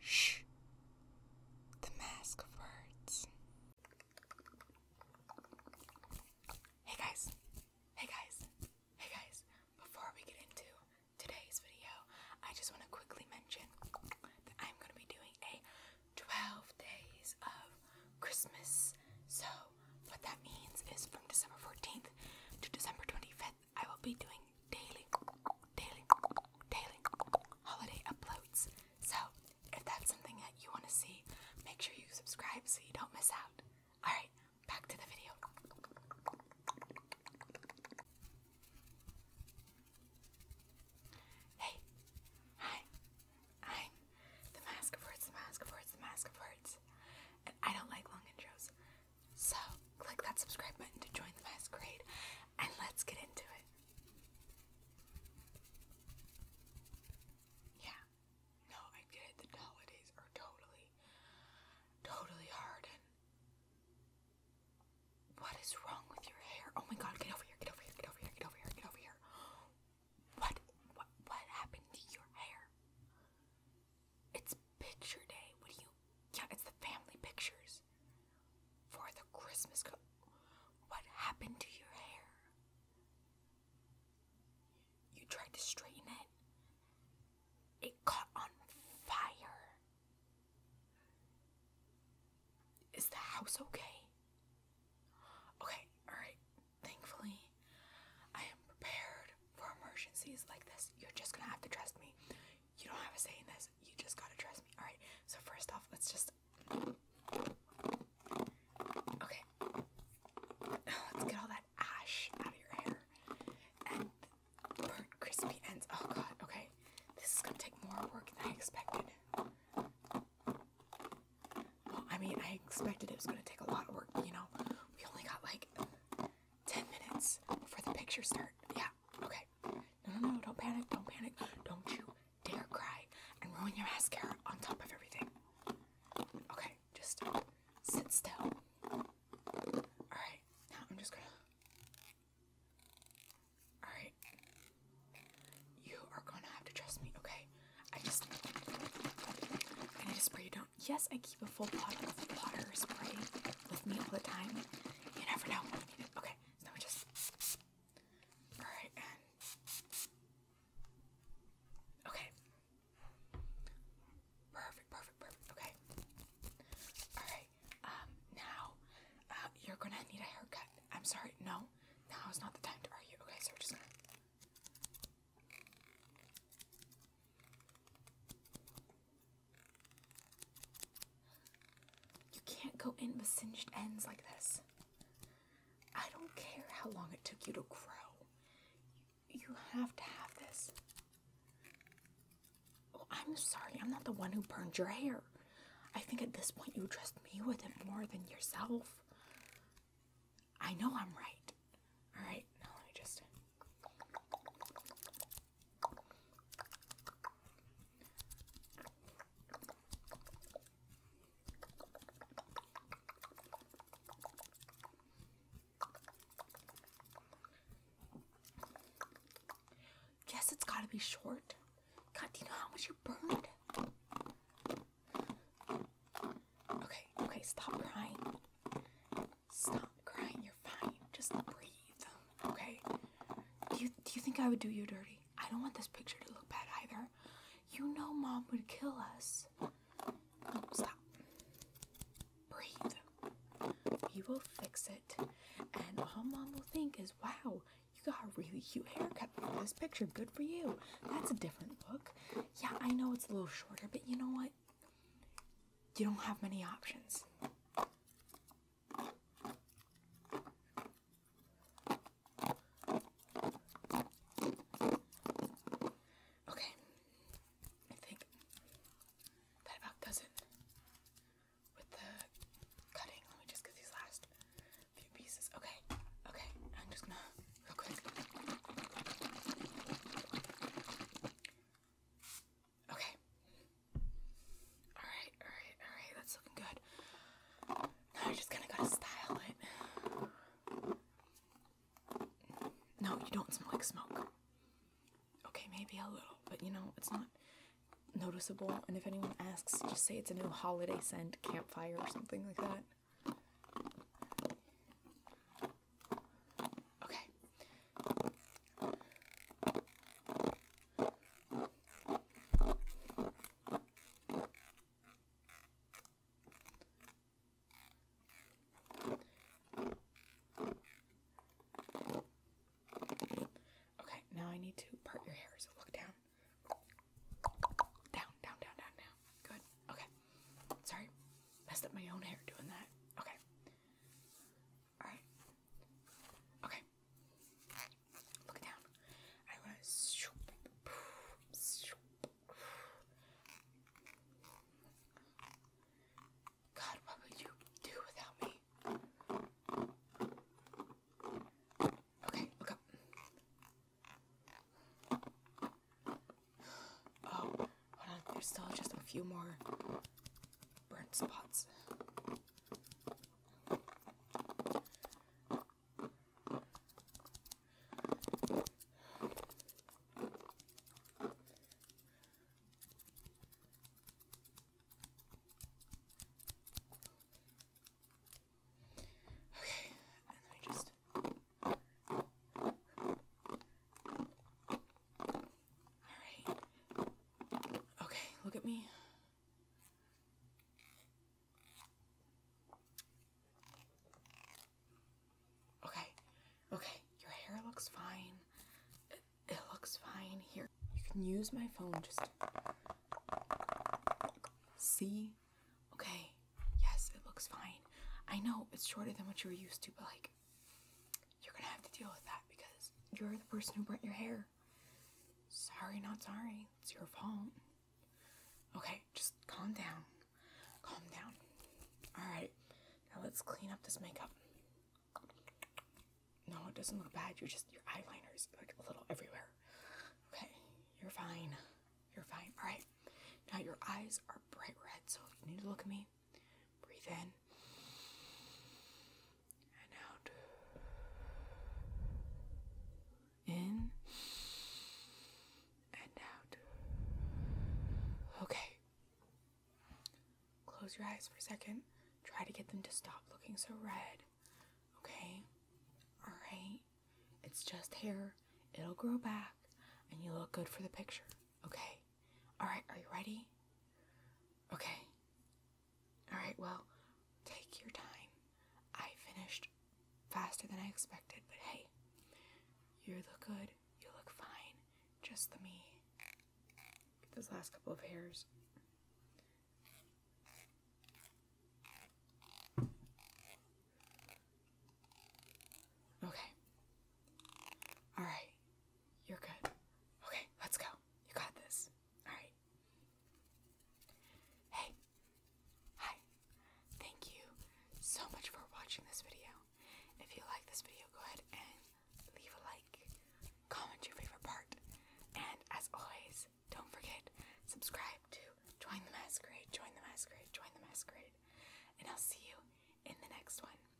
Shh. The Mask of Hey guys. Hey guys. Hey guys. Before we get into today's video, I just want to quickly mention that I'm going to be doing a 12 days of Christmas. So, what that means is from December 14th to December 25th. I will be doing daily, daily, daily holiday uploads. So if that's something that you want to see, make sure you subscribe so you don't miss out. Alright, back to the video. Hey, hi, i the Mask of Words, the Mask of Words, the Mask of Words. And I don't like long intros, so click that subscribe button to join the masquerade and let's get into it. Yeah. No, I get it. The holidays are totally, totally hard what is wrong with your hair? Oh my god, get over here, get over here, get over here, get over here, get over here. What what what happened to your hair? It's picture day. What do you yeah, it's the family pictures for the Christmas coat. What happened to your hair? You tried to straighten it, it caught on fire. Is the house okay? Okay, alright. Thankfully, I am prepared for emergencies like this. You're just gonna have to trust me. You don't have a say in this. You just gotta trust me. Alright, so first off, let's just. Okay. Let's get all that ash out of your hair. And burnt crispy ends. Oh god, okay. This is gonna take more work than I expected. Well, I mean, I expected it was gonna take a lot of work, you know, we only got like 10 minutes before the picture start. Yeah, Okay. No, no, no. Don't panic. Don't panic. Don't you dare cry and ruin your mascara on top of everything. Okay. Just sit still. Alright. Now I'm just gonna. Alright. You are gonna have to trust me, okay? I just. I need a spray. You do Yes, I keep a full bottle of water spray with me all the time. You never know Okay, so we just alright okay. Perfect, perfect, perfect. Okay. Alright. Um now uh you're gonna need a haircut. I'm sorry, no, now is not the time to argue. Okay, so we're just gonna you can't go in with singed ends like this. I don't care how long it took you to grow. You have to have this. Oh, I'm sorry, I'm not the one who burned your hair. I think at this point you trust me with it more than yourself. I know I'm right. Alright, now let just. Yes, it's gotta be short. God, do you know how much you burned? Okay, okay, stop crying. Stop crying. You're fine. Just breathe. Okay. Do you do you think I would do you dirty? I don't want this picture to look bad either. You know mom would kill us. No, stop. Breathe. We will fix it. And all mom will think is, wow, you got a really cute haircut for this picture. Good for you. That's a different look. Yeah, I know it's a little shorter, but you know what? You don't have many options. Okay, I think that about does it with the cutting. Let me just get these last few pieces. Okay, okay, I'm just gonna real quick. Okay. Alright, alright, alright. That's looking good. Now you're just gonna gotta style it. No, you don't smell like smoke. Okay, maybe a little, but you know, it's not noticeable. And if anyone asks, just say it's a new holiday scent, campfire, or something like that. Okay. Okay, now I need to part your hair, so look down. Down, down, down, down, down. Good. Okay. Sorry. Messed up my own hair doing that. Okay. Alright. Okay. Look down. I want God, what would you do without me? Okay, look up. Oh, hold on. There's still just a few more burn spots. Okay, and then I just Alright. Okay, look at me. Okay, okay, your hair looks fine. It, looks fine here. You can use my phone just see. Okay, yes, it looks fine. I know it's shorter than what you were used to, but like you're gonna have to deal with that because you're the person who burnt your hair. Sorry, not sorry. It's your fault. Okay, just calm down. Calm down. Alright, now let's clean up this makeup. No, it doesn't look bad. You're just, your eyeliner's like a little everywhere. Okay, you're fine. You're fine. Alright, now your eyes are bright red, so you need to look at me, Breathe in and out. In and out. Okay. Close your eyes for a second. Try to get them to stop looking so red. Okay? Alright? It's just hair. It'll grow back and you look good for the picture. Okay. All right. Are you ready? Okay. All right. Well, take your time. I finished faster than I expected, but hey, you look good. You look fine. Just the me. Get those last couple of hairs. Okay. All right. You're good. Okay, let's go. You got this. Alright. Hey. Hi. Thank you so much for watching this video. If you like this video, go ahead and leave a like, comment your favorite part, and as always, don't forget, subscribe to Join the Masquerade, Join the Masquerade, Join the Masquerade, and I'll see you in the next one.